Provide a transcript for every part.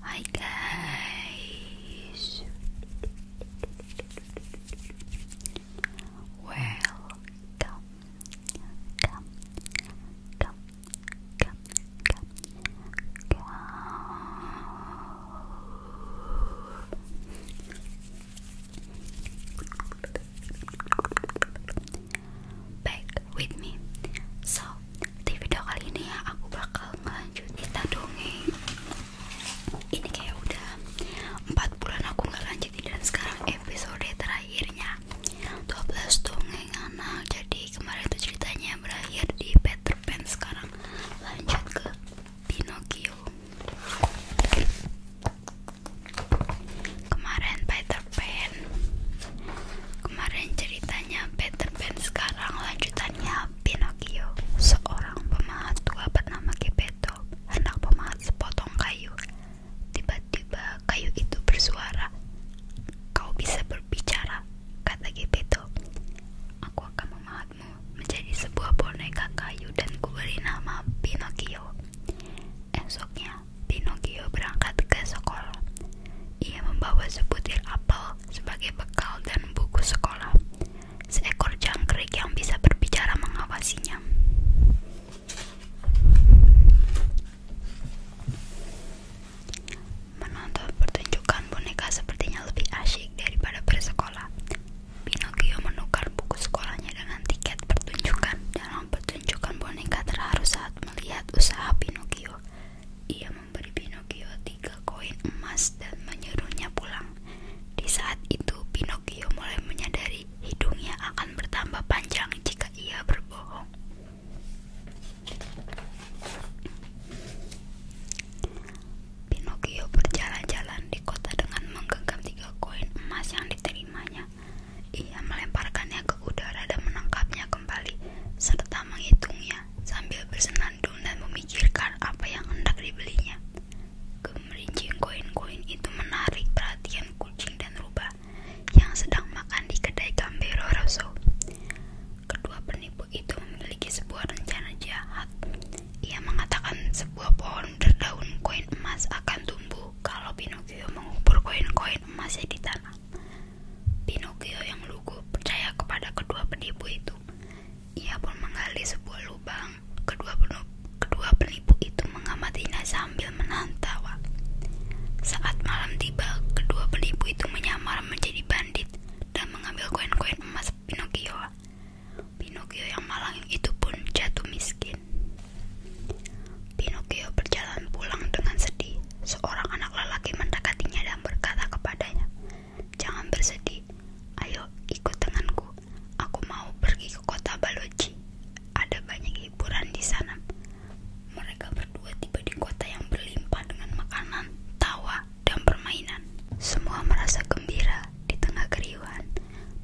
Hi guys. Welcome. Come. Come. Come. Come. Come. Come. back with me. So, di video kali ini ya aku bakal ngelanjutin dongeng. Ini kayak udah empat bulan aku nggak lanjutin dan sekarang episode terakhirnya dua belas dongeng anak. Jadi kemarin itu ceritanya berakhir di Peter Pan sekarang lanjut ke Pinocchio kemarin Peter Pan kemarin ceritanya Peter Pan sekarang lanjutannya Pinocchio seorang pemahat tua bernama Geppetto anak pemahat sepotong kayu tiba-tiba kayu itu bersuara kau bisa berbicara kata Geppetto aku akan memahatmu menjadi sebuah boneka kayu dan kuberi nama Pinocchio Esoknya, Pinocchio berangkat ke sekolah. Ia membawa sebutir apel sebagai bekal dan buku sekolah. Seekor jangkrik yang bisa berbicara mengawasinya. Menonton pertunjukan boneka sepertinya lebih asyik daripada bersekolah. Pinocchio menukar buku sekolahnya dengan tiket pertunjukan. Dalam pertunjukan boneka terharu saat melihat usaha Pinocchio. Ia memberi Pinocchio tiga koin emas dan menyuruhnya pulang. Di saat itu, Pinocchio mulai menyadari hidungnya akan bertambah panjang jika ia berbohong. Pinocchio berjalan-jalan di kota dengan menggenggam tiga koin emas yang diterimanya. Ia melemparkannya ke udara dan menangkapnya kembali, serta menghitungnya sambil bersenandung dan memikirkan apa yang hendak dibelinya. Gemerincing koin-koin itu menarik perhatian kucing dan rubah yang sedang makan di kedai Gambero Rosso. Kedua penipu itu memiliki sebuah rencana jahat. Ia mengatakan sebuah pohon berdaun koin emas akan tumbuh kalau Pinocchio mengubur koin-koin emasnya di tanah. Pinocchio yang lugu percaya kepada kedua penipu itu. Ia pun menggali sebuah lubang. Kedua penipu, kedua penipu itu mengamatinya sambil menahan tawa. Saat malam tiba, kedua penipu itu menyamar menjadi bandit dan mengambil koin-koin emas Pinocchio. Pinocchio yang malang itu pun jatuh miskin. Pinocchio berjalan pulang dengan sedih. Seorang anak lelaki mendekatinya dan berkata kepadanya, "Jangan bersedih. Ayo ikut denganku. Aku mau pergi ke kota Baloci. Ada banyak hiburan di sana." Mereka berdua tiba di kota yang berlimpah dengan makanan, tawa, dan permainan. Semua merasa gembira di tengah keriuhan.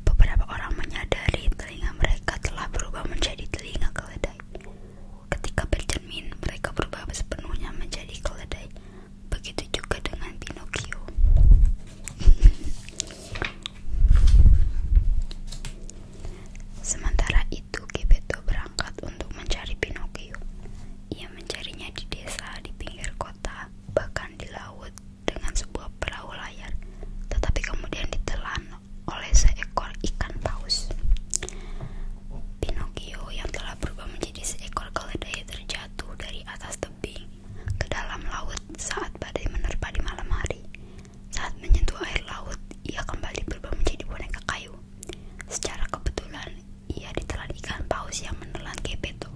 Beberapa orang menyadari telinga mereka telah berubah menjadi telinga keledai. Ketika bercermin, mereka berubah sepenuhnya menjadi keledai. Begitu juga dengan Pinocchio. Sementara itu, Geppetto berangkat untuk mencari Pinocchio. Ia mencarinya di desa, di pinggir kota, bahkan di laut dengan sebuah perahu layar. Tetapi kemudian ditelan oleh seekor ikan paus. Pinocchio yang telah berubah menjadi seekor keledai terjatuh dari atas tebing ke dalam laut saat badai menerpa di malam hari. Saat menyentuh air laut, ia kembali berubah menjadi boneka kayu. Secara kebetulan, ia ditelan ikan paus yang menelan Gepetto.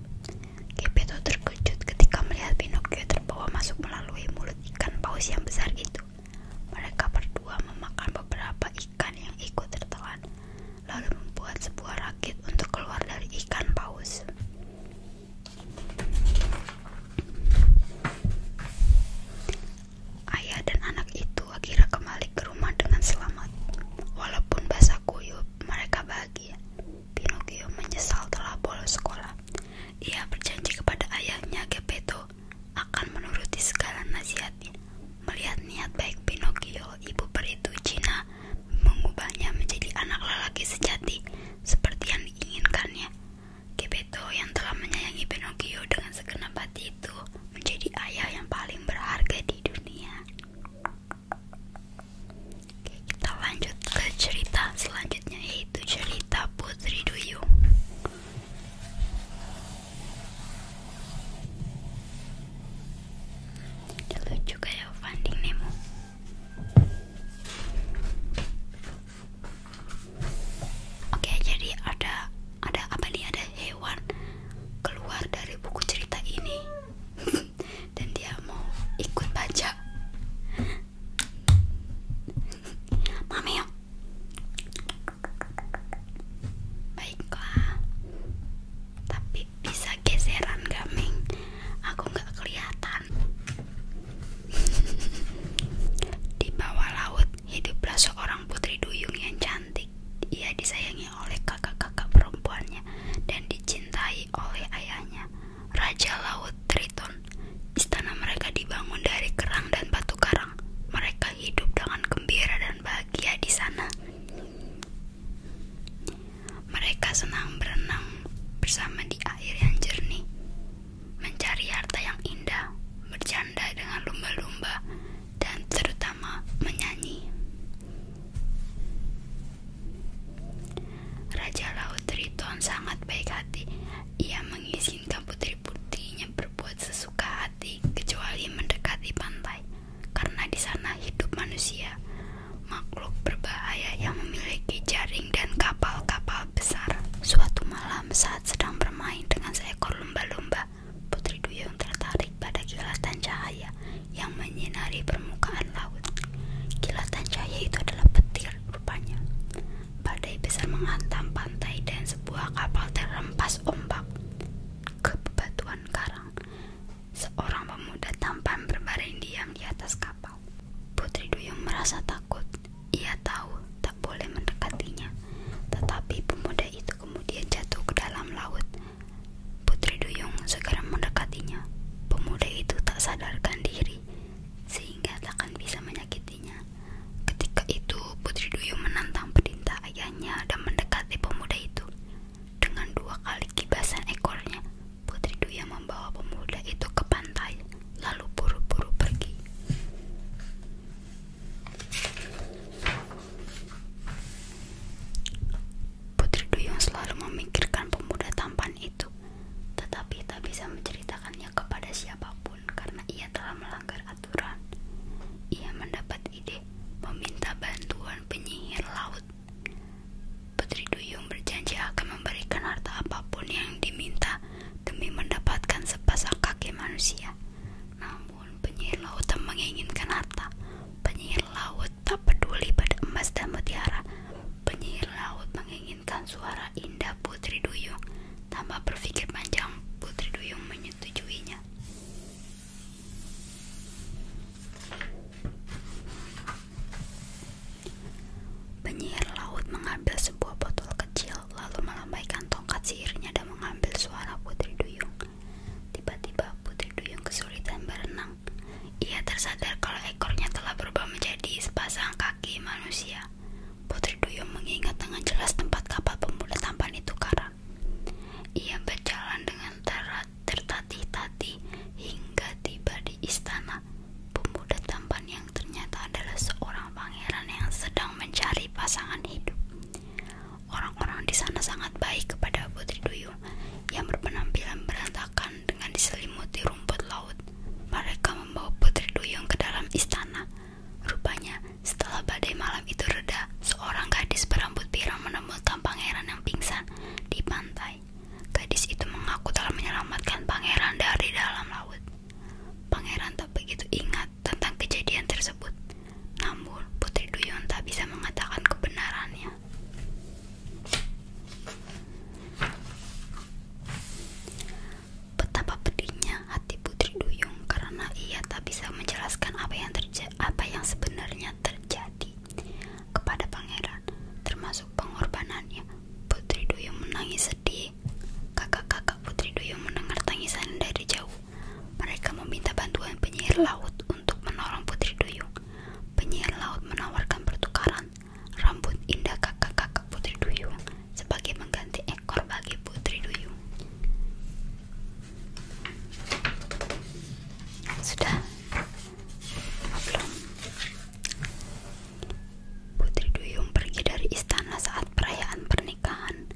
Gepetto terkejut ketika melihat Pinocchio terbawa masuk melalui mulut ikan paus yang besar itu. Mereka berdua memakan beberapa ikan yang ikut tertelan, lalu membuat sebuah rakit untuk keluar dari ikan paus. Ayah dan anak itu akhirnya kembali ke rumah dengan selamat. Walaupun basah kuyup, mereka bahagia. Pinocchio menyesal telah bolos sekolah. Ia berjanji kepada ayahnya Geppetto akan menuruti segala nasihatnya. Melihat niat baik Pinocchio, ibu peri itu Cina mengubahnya menjadi anak lelaki sejati seperti yang diinginkannya. Gebeto yang telah menyayangi Pinocchio dengan segenap hati itu menjadi ayah yang paling berharga di dunia. kita lanjut ke cerita selanjutnya yaitu cerita Putri Duyung. Ini lucu kayak Finding Nemo. Oke, jadi ada ada apa nih? Ada hewan keluar dari buku cerita ini. Dan dia mau ikut baca. Mami Baiklah. Tapi bisa geseran gak, Ming? Aku nggak kelihatan. Di bawah laut hiduplah seorang putri duyung yang cantik. Ia disayangi oleh kakak-kakak perempuannya dan dicintai oleh ayahnya, Raja Laut Triton. Istana mereka dibangun dari kerang dan batu karang. Mereka hidup dengan gembira dan bahagia di sana. Mereka senang berenang bersama di air yang jernih, mencari harta yang indah, bercanda dengan lumba-lumba, dan terutama menyanyi. Raja Laut Triton sangat baik hati. Ia mengizinkan putri-putrinya berbuat sesuka hati kecuali mendekati pantai, karena di sana hidup manusia, makhluk berbahaya yang memiliki jaring dan kapal-kapal besar. Suatu malam saat sedang bermain dengan seekor lumba-lumba, Putri Duyung tertarik pada kilatan cahaya yang menyinari permukaan laut. Kilatan cahaya itu adalah petir rupanya badai besar mengantam pantai dan sebuah kapal terhempas ombak ke bebatuan karang. Seorang pemuda tampan berbaring diam di atas kapal. Putri Duyung merasa takut. Ia tahu tak boleh mendekatinya. Tetapi pemuda itu kemudian jatuh ke dalam laut. Putri Duyung segera mendekatinya. Pemuda itu tak sadarkan diri sehingga takkan bisa menyakiti Ketika itu, Putri Duyung menantang perintah ayahnya dan mendekati pemuda itu. Dengan dua kali kibasan ekornya, Putri Duyung membawa pemuda itu ke pantai, lalu buru-buru pergi. Putri Duyung selalu memikirkan pemuda tampan itu, tetapi tak bisa menceritakannya kepada siapapun karena ia telah melanggar aturan. Ia mendapat ide meminta bantuan penyihir laut. Putri Duyung berjanji akan memberikan harta apapun yang diminta demi mendapatkan sepasang kaki manusia. Namun penyihir laut tak menginginkan harta. Penyihir laut tak peduli pada emas dan mutiara. Penyihir laut menginginkan suara indah Putri Duyung tanpa berpikir panjang, Putri Duyung menyetujuinya. Penyihir laut mengambil sebuah botol kecil, lalu melambaikan tongkat sihirnya dan mengambil suara Putri Duyung. Tiba-tiba Putri Duyung kesulitan berenang. Ia tersadar kalau ekornya telah berubah menjadi sepasang kaki manusia. Putri Duyung mengingat dengan jelas tempat kapal pemuda tampan itu karam. Ia berjalan dengan tertatih-tatih hingga tiba di istana. Pemuda tampan yang ternyata adalah seorang pangeran yang sedang mencari pasangan hidup. Orang-orang di sana sangat baik kepada Putri Duyung yang berpenampilan berantakan dengan diselimuti rumput laut. Mereka membawa Putri Duyung ke dalam istana. Rupanya, setelah badai malam itu reda, seorang gadis berambut pirang menemukan pangeran yang pingsan di pantai. Gadis itu mengaku telah menyelamatkan pangeran dari dalam laut. Pangeran tak begitu ingat tentang kejadian tersebut, namun Putri Duyung tak bisa mengatakan kebenarannya. Betapa pedihnya hati Putri Duyung karena ia tak bisa menjelaskan apa yang terja apa yang sebenarnya terjadi kepada pangeran, termasuk pengorbanannya. Putri Duyung menangis sedih. Kakak-kakak Putri Duyung mendengar tangisan dari jauh. Mereka meminta bantuan penyihir laut untuk menolong Putri Duyung. Penyihir laut menawarkan pertukaran rambut indah kakak-kakak Putri Duyung sebagai mengganti seekor bagi putri duyung. Sudah? Belum. Putri duyung pergi dari istana saat perayaan pernikahan.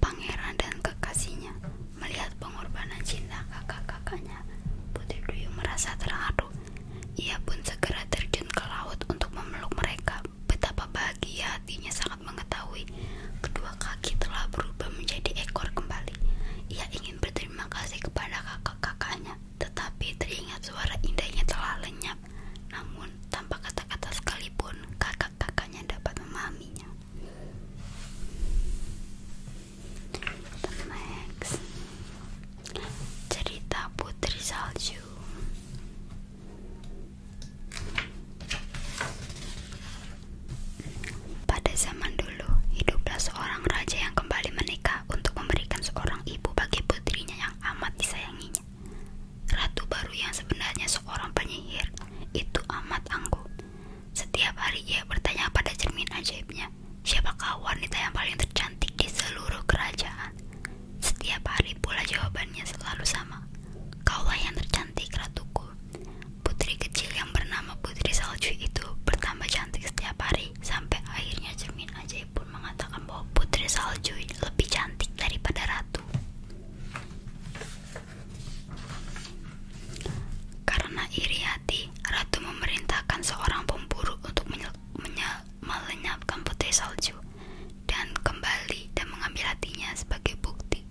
Pangeran dan kekasihnya melihat pengorbanan cinta kakak-kakaknya. Putri duyung merasa terharu. Ia pun segera terjun ke laut untuk memeluk mereka betapa bahagia hatinya sangat mengetahui kedua kaki telah berubah menjadi ekor kembali. Ia ingin berterima kasih kepada kakak-kakaknya, tetapi teringat suara indahnya telah lenyap. Namun, tanpa kata-kata sekalipun, kakak-kakaknya dapat memahaminya. The cerita Putri Salju. Pada zaman dulu, hiduplah seorang raja yang kembali menikah untuk memberikan seorang ibu bagi putrinya yang amat disayanginya. Ratu baru yang sebenarnya seorang penyihir itu amat angkuh. Setiap hari ia bertanya pada cermin ajaibnya, siapakah wanita yang paling tercantik di seluruh kerajaan? Setiap hari pula jawabannya selalu sama. Kaulah yang tercantik, ratuku. Putri kecil yang bernama Putri Salju itu bertambah cantik setiap hari, sampai akhirnya cermin ajaib pun mengatakan bahwa Putri Salju lebih cantik daripada ratu. Karena iri hati, ratu memerintahkan seorang pemburu untuk melenyapkan Putri Salju dan kembali dan mengambil hatinya sebagai bukti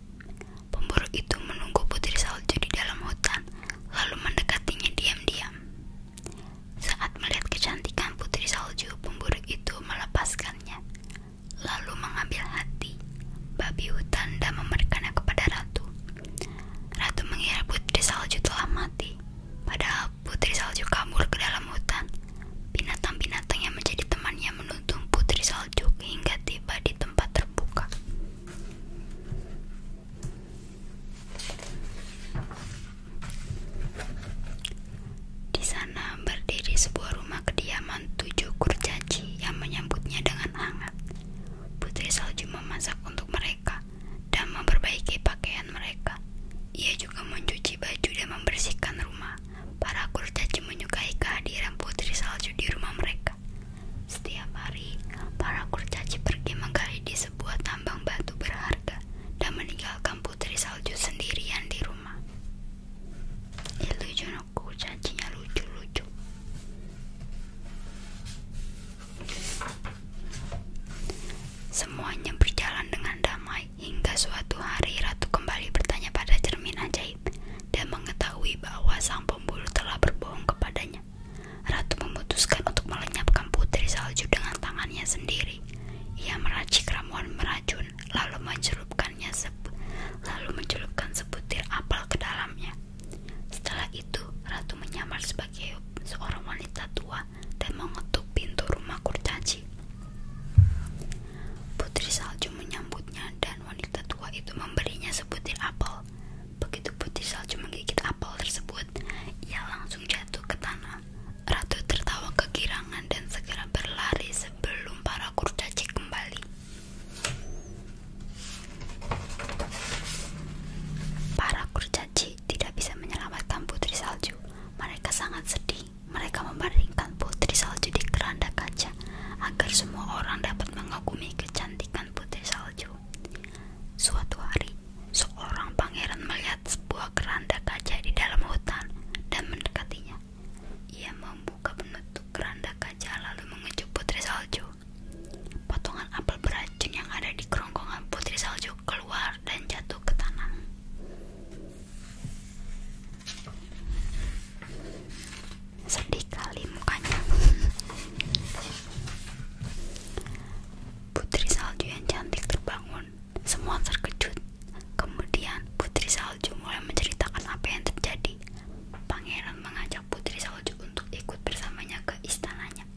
Pemburu itu menunggu putri salju di dalam hutan, lalu mendekatinya diam-diam. Saat melihat kecantikan putri salju, pemburu itu melepaskannya, lalu mengambil hati babi hutan dan memberikannya kepada ratu. Ratu mengira putri salju telah mati, padahal putri salju kabur ke dalam hutan. Binatang-binatang yang menjadi temannya menuntun putri salju hingga tiba di tempat terbuka. Di sana berdiri sebuah rumah kediaman tujuh kurcaci yang menyambutnya dengan hangat. Putri salju memasak untuk mereka dan memperbaiki pakaian mereka. Ia juga mencuci baju dan membersihkan rumah para kurcaci menyukai kehadiran putri salju di rumah mereka. Setiap hari, para kurcaci pergi menggali di sebuah tambang batu berharga dan meninggalkan putri salju sendirian di rumah. Ilujono kurcacinya lucu-lucu. Semuanya berjalan dengan damai hingga suatu hari ratu kembali bertanya pada cermin ajaib, dan mengetahui bahwa sang pembuluh telah berbohong kepadanya. Ratu memutuskan untuk melenyapkan putri salju dengan tangannya sendiri. Ia meracik ramuan meracun, lalu mencelupkannya lalu mencelupkan sebutir apel ke dalamnya. Setelah itu, Ratu menyamar sebagai seorang wanita tua dan mengetuk pintu rumah kurcaci. Putri salju menyambutnya dan wanita tua itu memberinya sebutir apel. Begitu putri salju menggigit apel tersebut, ia langsung jatuh ke tanah. Ratu tertawa kegirangan dan segera berlari sebelum para kurcaci kembali. Para kurcaci tidak bisa menyelamatkan putri salju. Mereka sangat sedih mereka membaringkan putri salju di keranda kaca agar semua orang dapat mengagumi kecantikan putri salju. Suatu hari, seorang pangeran melihat sebuah keranda kaca di dalam hutan dan mendekatinya. Ia membuka penutup keranda kaca lalu mengejuk putri salju. Potongan apel beracun yang ada di kerongkongan putri salju keluar dan jatuh ke tanah. Sedih kali mukanya. Putri salju yang cantik terbangun. Semua terkejut. Kemudian Putri salju mulai menceritakan apa yang terjadi. Pangeran mengajak Putri salju untuk ikut bersamanya ke istananya.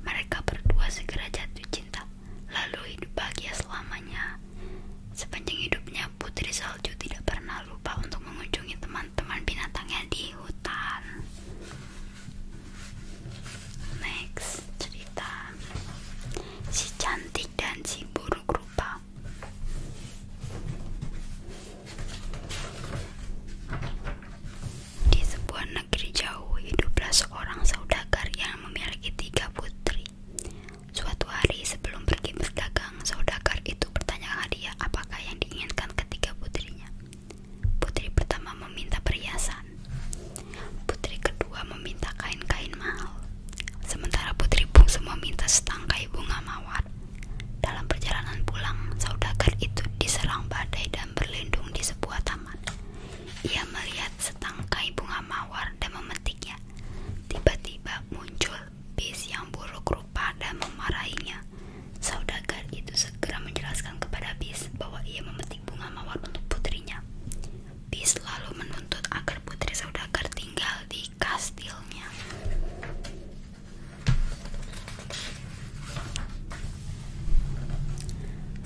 Mereka berdua segera jatuh cinta, lalu hidup bahagia selamanya. Sepanjang hidupnya, Putri Salju tidak pernah lupa untuk mengunjungi teman-teman binatangnya di hutan. Next, cerita si cantik dan si buruk rupa. Di sebuah negeri jauh hiduplah seorang saudagar yang memiliki tiga putri. Suatu hari sebelum pergi berdagang, saudagar itu bertanya hadiah apakah yang diinginkan ketiga putrinya. Putri pertama meminta perhiasan. Putri kedua meminta kain-kain mahal. Sementara putri semua minta setangkai bunga mawar. Dalam perjalanan pulang, saudagar itu diserang badai dan berlindung di sebuah taman. Ia melihat setangkai bunga mawar dan memetiknya. Tiba-tiba muncul bis yang buruk rupa dan memarahinya. Saudagar itu segera menjelaskan kepada bis bahwa ia memetik bunga mawar untuk putrinya. Bis selalu menuntut agar putri saudagar tinggal di kastilnya.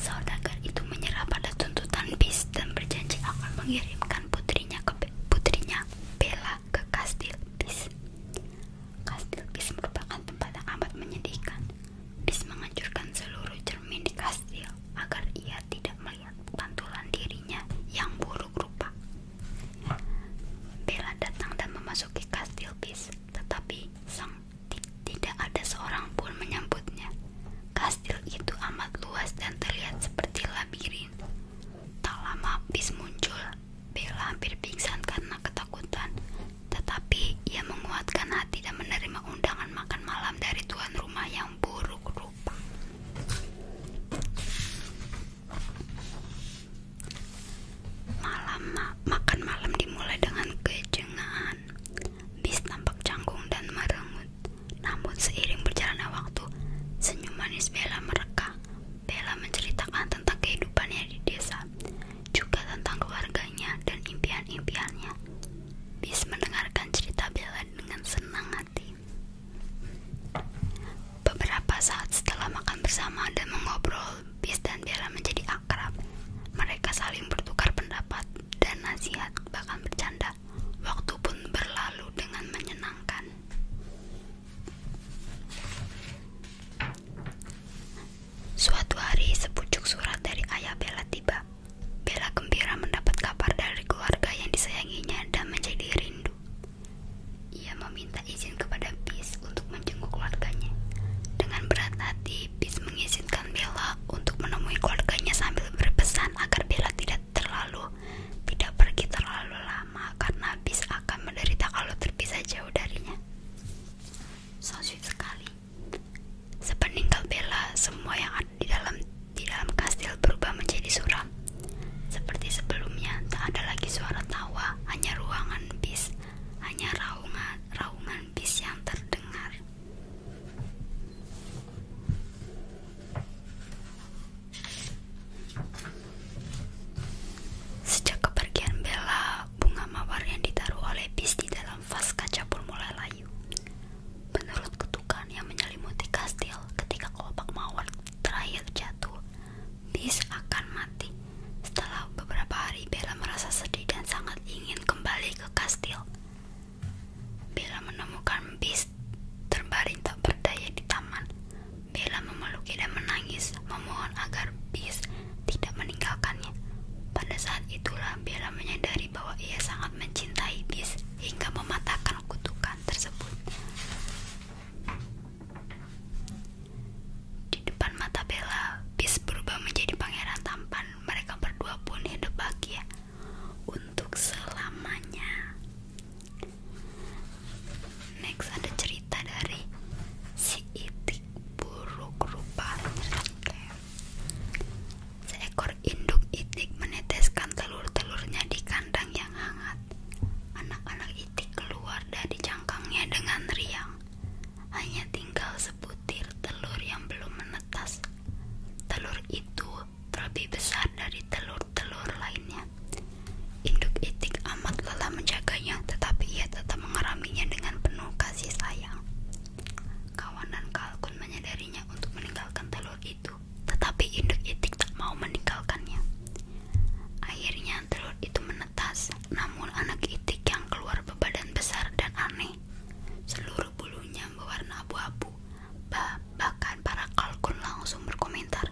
Saudagar itu menyerah pada tuntutan bis dan berjanji akan mengirimkan putrinya ke putrinya Bella ke Kastil Bis. Kastil Bis merupakan tempat yang amat menyedihkan. Bis menghancurkan seluruh cermin di kastil agar ia tidak melihat pantulan dirinya yang buruk rupa. Bella datang dan memasuki kastil Bis, tetapi sang tidak ada seorang pun menyambutnya. Kastil itu amat luas dan terlihat seperti labirin. Tak lama bis muncul. Bella hampir pingsan karena ketakutan, tetapi ia menguatkan hati dan menerima undangan makan malam dari tuan rumah yang buruk rupa. Malam makan malam dimulai dengan kejengahan, Bis tampak canggung dan merenggut. Namun seiring berjalannya waktu, senyum manis Bella mereka. Bella menceritakan tentang kehidupannya di desa, juga tentang keluarganya dan impian-impiannya. Bis mendengarkan cerita Bella dengan senang hati. Beberapa saat setelah makan bersama dan mengobrol, Bis dan Bella menjadi akrab. Mereka saling bertukar pendapat dan nasihat, bahkan bercanda waktu pun berlalu dengan menyenangkan. Suatu hari, sepucuk surat dari ayah Bella tiba. Bella gembira mendapat kabar dari keluarga yang disayanginya dan menjadi rindu. Ia meminta izin kepada Bis untuk menjenguk keluarganya. Dengan berat hati, Bis mengizinkan Bella untuk menemui keluarganya sambil berpesan agar Bella tidak terlalu tidak pergi terlalu lama karena bis akan menderita kalau terpisah jauh darinya. So sekali. Sepeninggal Bella, semua yang di dalam di dalam kastil berubah menjadi suram. Seperti sebelumnya, tak ada lagi suara tawa, hanya ruangan bis, hanya raungan raungan bis yang terdengar. Sejak kepergian Bella, bunga mawar yang ditaruh oleh bis di dalam vas kaca pun mulai layu. Menurut ketukan yang menyelimuti kastil, ketika kelopak mawar terakhir jatuh, bis akan mati. Setelah beberapa hari, Bella merasa sedih dan sangat ingin kembali ke kastil. Bella menemukan bis Lilis terbaring tak berdaya di taman. Bella memeluk dan menangis, memohon agar Bis tidak meninggalkannya. Pada saat itulah Bella menyadari bahwa ia sangat mencintai Bis hingga mematahkan kutukan tersebut. Di depan mata Bella, Bis berubah menjadi pangeran tampan. Mereka berdua pun hidup bahagia untuk selamanya. Next ada cerita dari si itik buruk rupa. Seekor induk itik meneteskan telur-telurnya di kandang yang hangat. Anak-anak itik keluar dari cangkangnya dengan riang. Hanya tinggal sebutir telur yang belum menetas. Telur itu lebih besar dari telur-telur lainnya. Induk itik amat lelah menjaganya, tetapi ia tetap mengaraminya dengan penuh kasih sayang. Kawanan kalkun menyadarinya untuk meninggalkan telur itu, tetapi induk itik tak mau meninggalkannya. Akhirnya telur itu menetas, namun anak itik yang keluar berbadan besar dan aneh. Seluruh bulunya berwarna abu-abu, bah Bahkan para kalkun langsung berkomentar,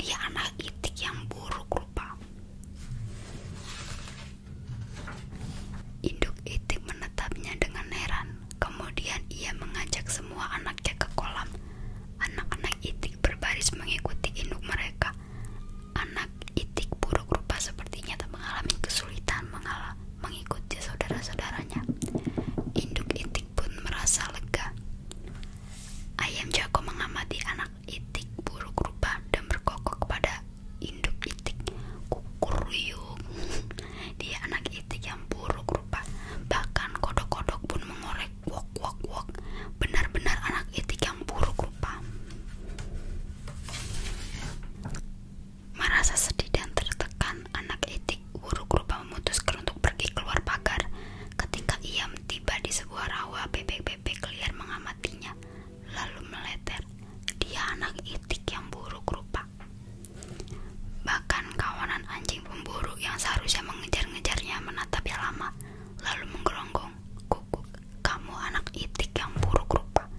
dia anak itik yang buruk rupa. Induk itik menetapnya dengan heran. Kemudian ia mengajak semua anaknya ke kolam. Anak-anak itik berbaris mengikuti induk mereka. Anak itik buruk rupa sepertinya tak mengalami kesulitan mengalah mengikuti saudara-saudaranya. Induk itik pun merasa lega. Ayam jago mengamati anak itik buruk rupa dan berkokok kepada induk itik Kukuruyung, Dia anak itik yang buruk rupa, bahkan kodok-kodok pun mengorek wok wok wok. Benar-benar anak itik yang buruk rupa. Merasa sedih dan tertekan, anak itik naik, buru memutuskan untuk pergi keluar pagar. Ketika ia tiba di sebuah rawa, bebek-bebek liar mengamatinya, lalu meleter. Dia anak itik yang buruk rupa. Bahkan kawanan anjing pemburu yang seharusnya mengejar-ngejarnya menatapnya lama, lalu menggeronggongi kukuk. Kamu anak itik yang buruk rupa.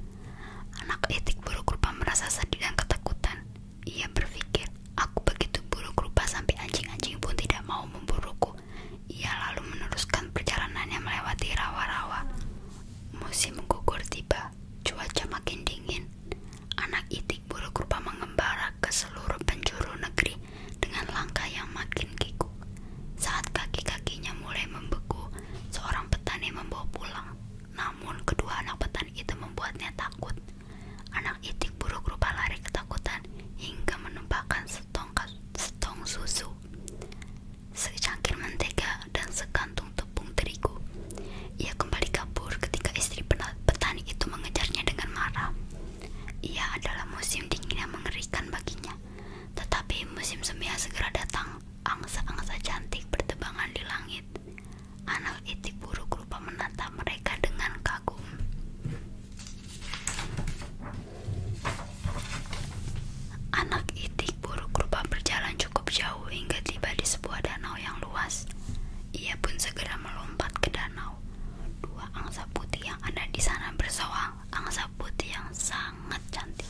Anak itik buruk rupa merasa sedih dan ketakutan. Ia berpikir, aku begitu buruk rupa sampai anjing-anjing pun tidak mau memburuku. Ia lalu meneruskan perjalanannya melewati rawa-rawa. Musim gugur tiba, cuaca makin dingin. Anak itik buruk rupa mengembara ke seluruh penjuru negeri dengan langkah yang makin kikuk. Saat kaki-kakinya mulai membeku, seorang petani membawa pulang. Namun kedua anak petani itu membuatnya takut. Anak itik buruk rupa lari ketakutan hingga menumpahkan setong, setong susu, secangkir mentega, dan sekantung tepung terigu. Ia kembali kabur ketika istri petani itu mengejarnya dengan marah. Ia adalah musim dingin yang mengerikan baginya, tetapi musim semi segera datang. Angsa-angsa cantik bertebangan di langit. Anak itik buruk lupa menatap mereka dengan kau. Anak itik buruk rupa berjalan cukup jauh hingga tiba di sebuah danau yang luas. Ia pun segera melompat ke danau. Dua angsa putih yang ada di sana bersoal, angsa putih yang sangat cantik.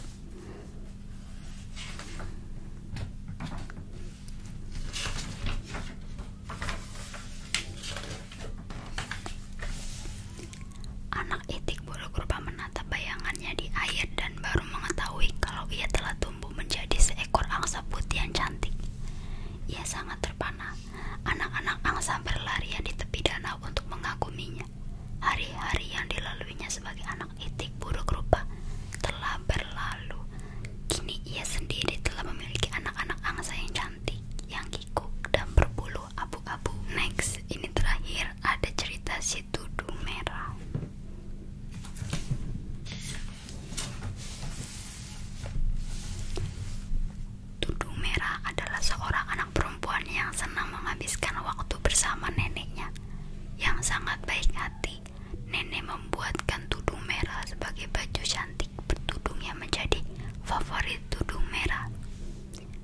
Anak itik bayangannya di air dan baru mengetahui kalau ia telah tumbuh menjadi seekor angsa putih yang cantik. Ia sangat terpana. Anak-anak angsa berlarian di tepi danau untuk mengaguminya. Hari-hari yang dilaluinya sebagai anak itik buruk rupa telah berlalu. Kini ia sendiri telah memiliki anak-anak angsa yang cantik cantik yang kikuk dan berbulu abu-abu. Next, ini terakhir ada cerita si tudung merah. Tudung merah adalah seorang anak perempuan yang senang menghabiskan waktu bersama neneknya yang sangat baik hati. Nenek membuatkan tudung merah sebagai baju cantik cantik bertudungnya menjadi favorit tudung merah.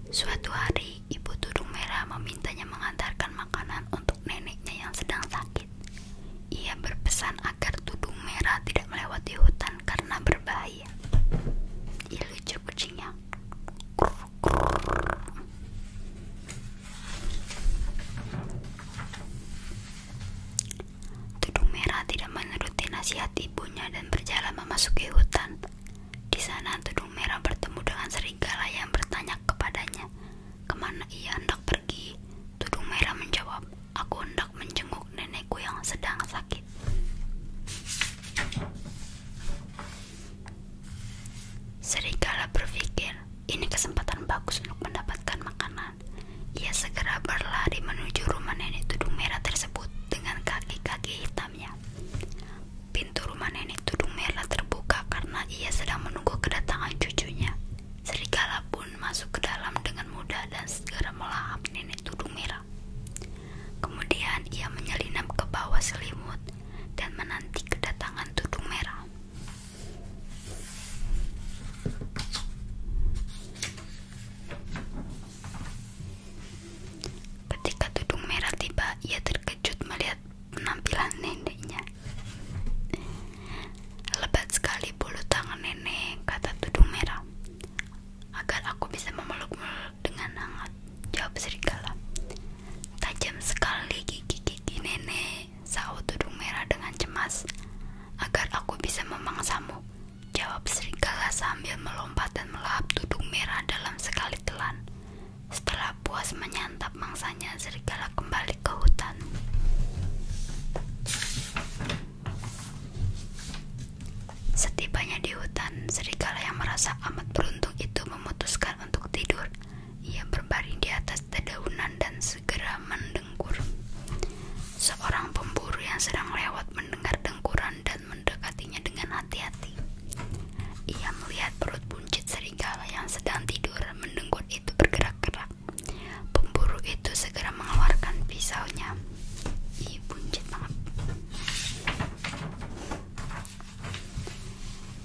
Suatu hari, ibu tudung merah memintanya mengantarkan makanan untuk neneknya yang sedang sakit. Ia berpesan agar tudung merah tidak melewati hutan karena berbahaya. Ia lucu kucingnya. Tudung Merah tidak menuruti nasihat ibunya dan berjalan memasuki hutan. Di sana Tudung Merah bertemu dengan serigala yang bertanya kepadanya, kemana ia hendak pergi? Tudung Merah menjawab, aku hendak menjenguk nenekku yang sedang sakit. Serigala berpikir, ini kesempatan bagus untuk mendapatkan makanan. Ia segera berlari menuju rumah nenek tudung merah tersebut dengan kaki-kaki hitamnya. Pintu rumah nenek tudung merah terbuka karena ia sedang menunggu kedatangan cucunya. Serigala pun masuk ke dalam dengan mudah dan segera melahap nenek tudung merah. Kemudian ia menyelinap ke bawah selimut dan menanti kedatangan tudung merah. Ketika tudung merah tiba, ia terkejut melihat penampilan neneknya. Lebat sekali bulu tangan nenek, kata tudung merah. Agar aku bisa memelukmu dengan hangat, jawab serigala. Tajam sekali gigi-gigi nenek, sahut tudung merah dengan cemas. Agar aku bisa memangsamu, Jawab serigala sambil melompat dan melahap tudung merah dalam sekali telan. Setelah puas menyantap mangsanya, serigala kembali ke hutan. Setibanya di hutan, serigala yang merasa amat beruntung itu memutuskan untuk tidur. Ia berbaring di atas dedaunan dan segera mendengar Seorang pemburu yang sedang lewat mendengar dengkuran dan mendekatinya dengan hati-hati. Ia melihat perut buncit serigala yang sedang tidur mendengkur itu bergerak-gerak. Pemburu itu segera mengeluarkan pisaunya. Ih, buncit banget.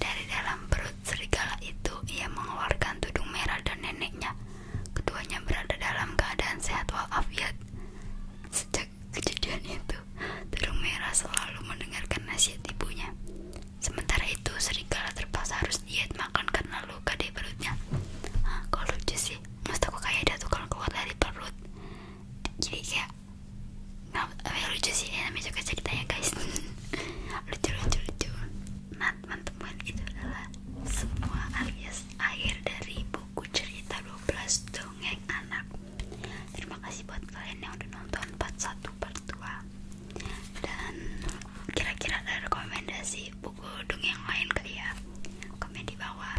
Dari dalam perut serigala itu, ia mengeluarkan tudung merah dan neneknya Keduanya berada dalam keadaan sehat walafiat. Sejak kejadian itu, Burung Merah selalu mendengarkan nasihat ibunya. Sementara itu, serigala terpaksa harus diet makan karena luka di perutnya. Hah, kalau lucu sih, mas aku kayak ada tukang keluar dari perut. Jadi kayak nah, eh, lucu sih, ya, namanya juga ceritanya guys. lucu lucu lucu. Nah, teman-teman itu adalah semua alias akhir dari buku cerita dua belas dongeng anak terima kasih buat kalian yang udah nonton empat satu pertua dan kira-kira ada rekomendasi buku dongeng lain kali ya komen di bawah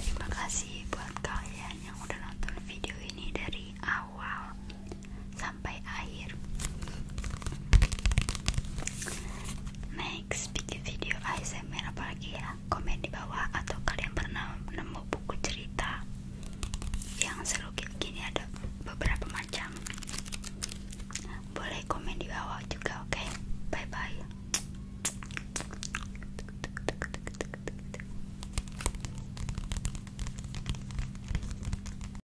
terima kasih buat kalian yang udah nonton video ini dari awal sampai akhir. Next, bikin video ASMR apalagi ya? Komen di bawah atau kalian pernah nemu buku cerita yang seru gini ada beberapa macam. Boleh komen di bawah juga, oke? Bye bye.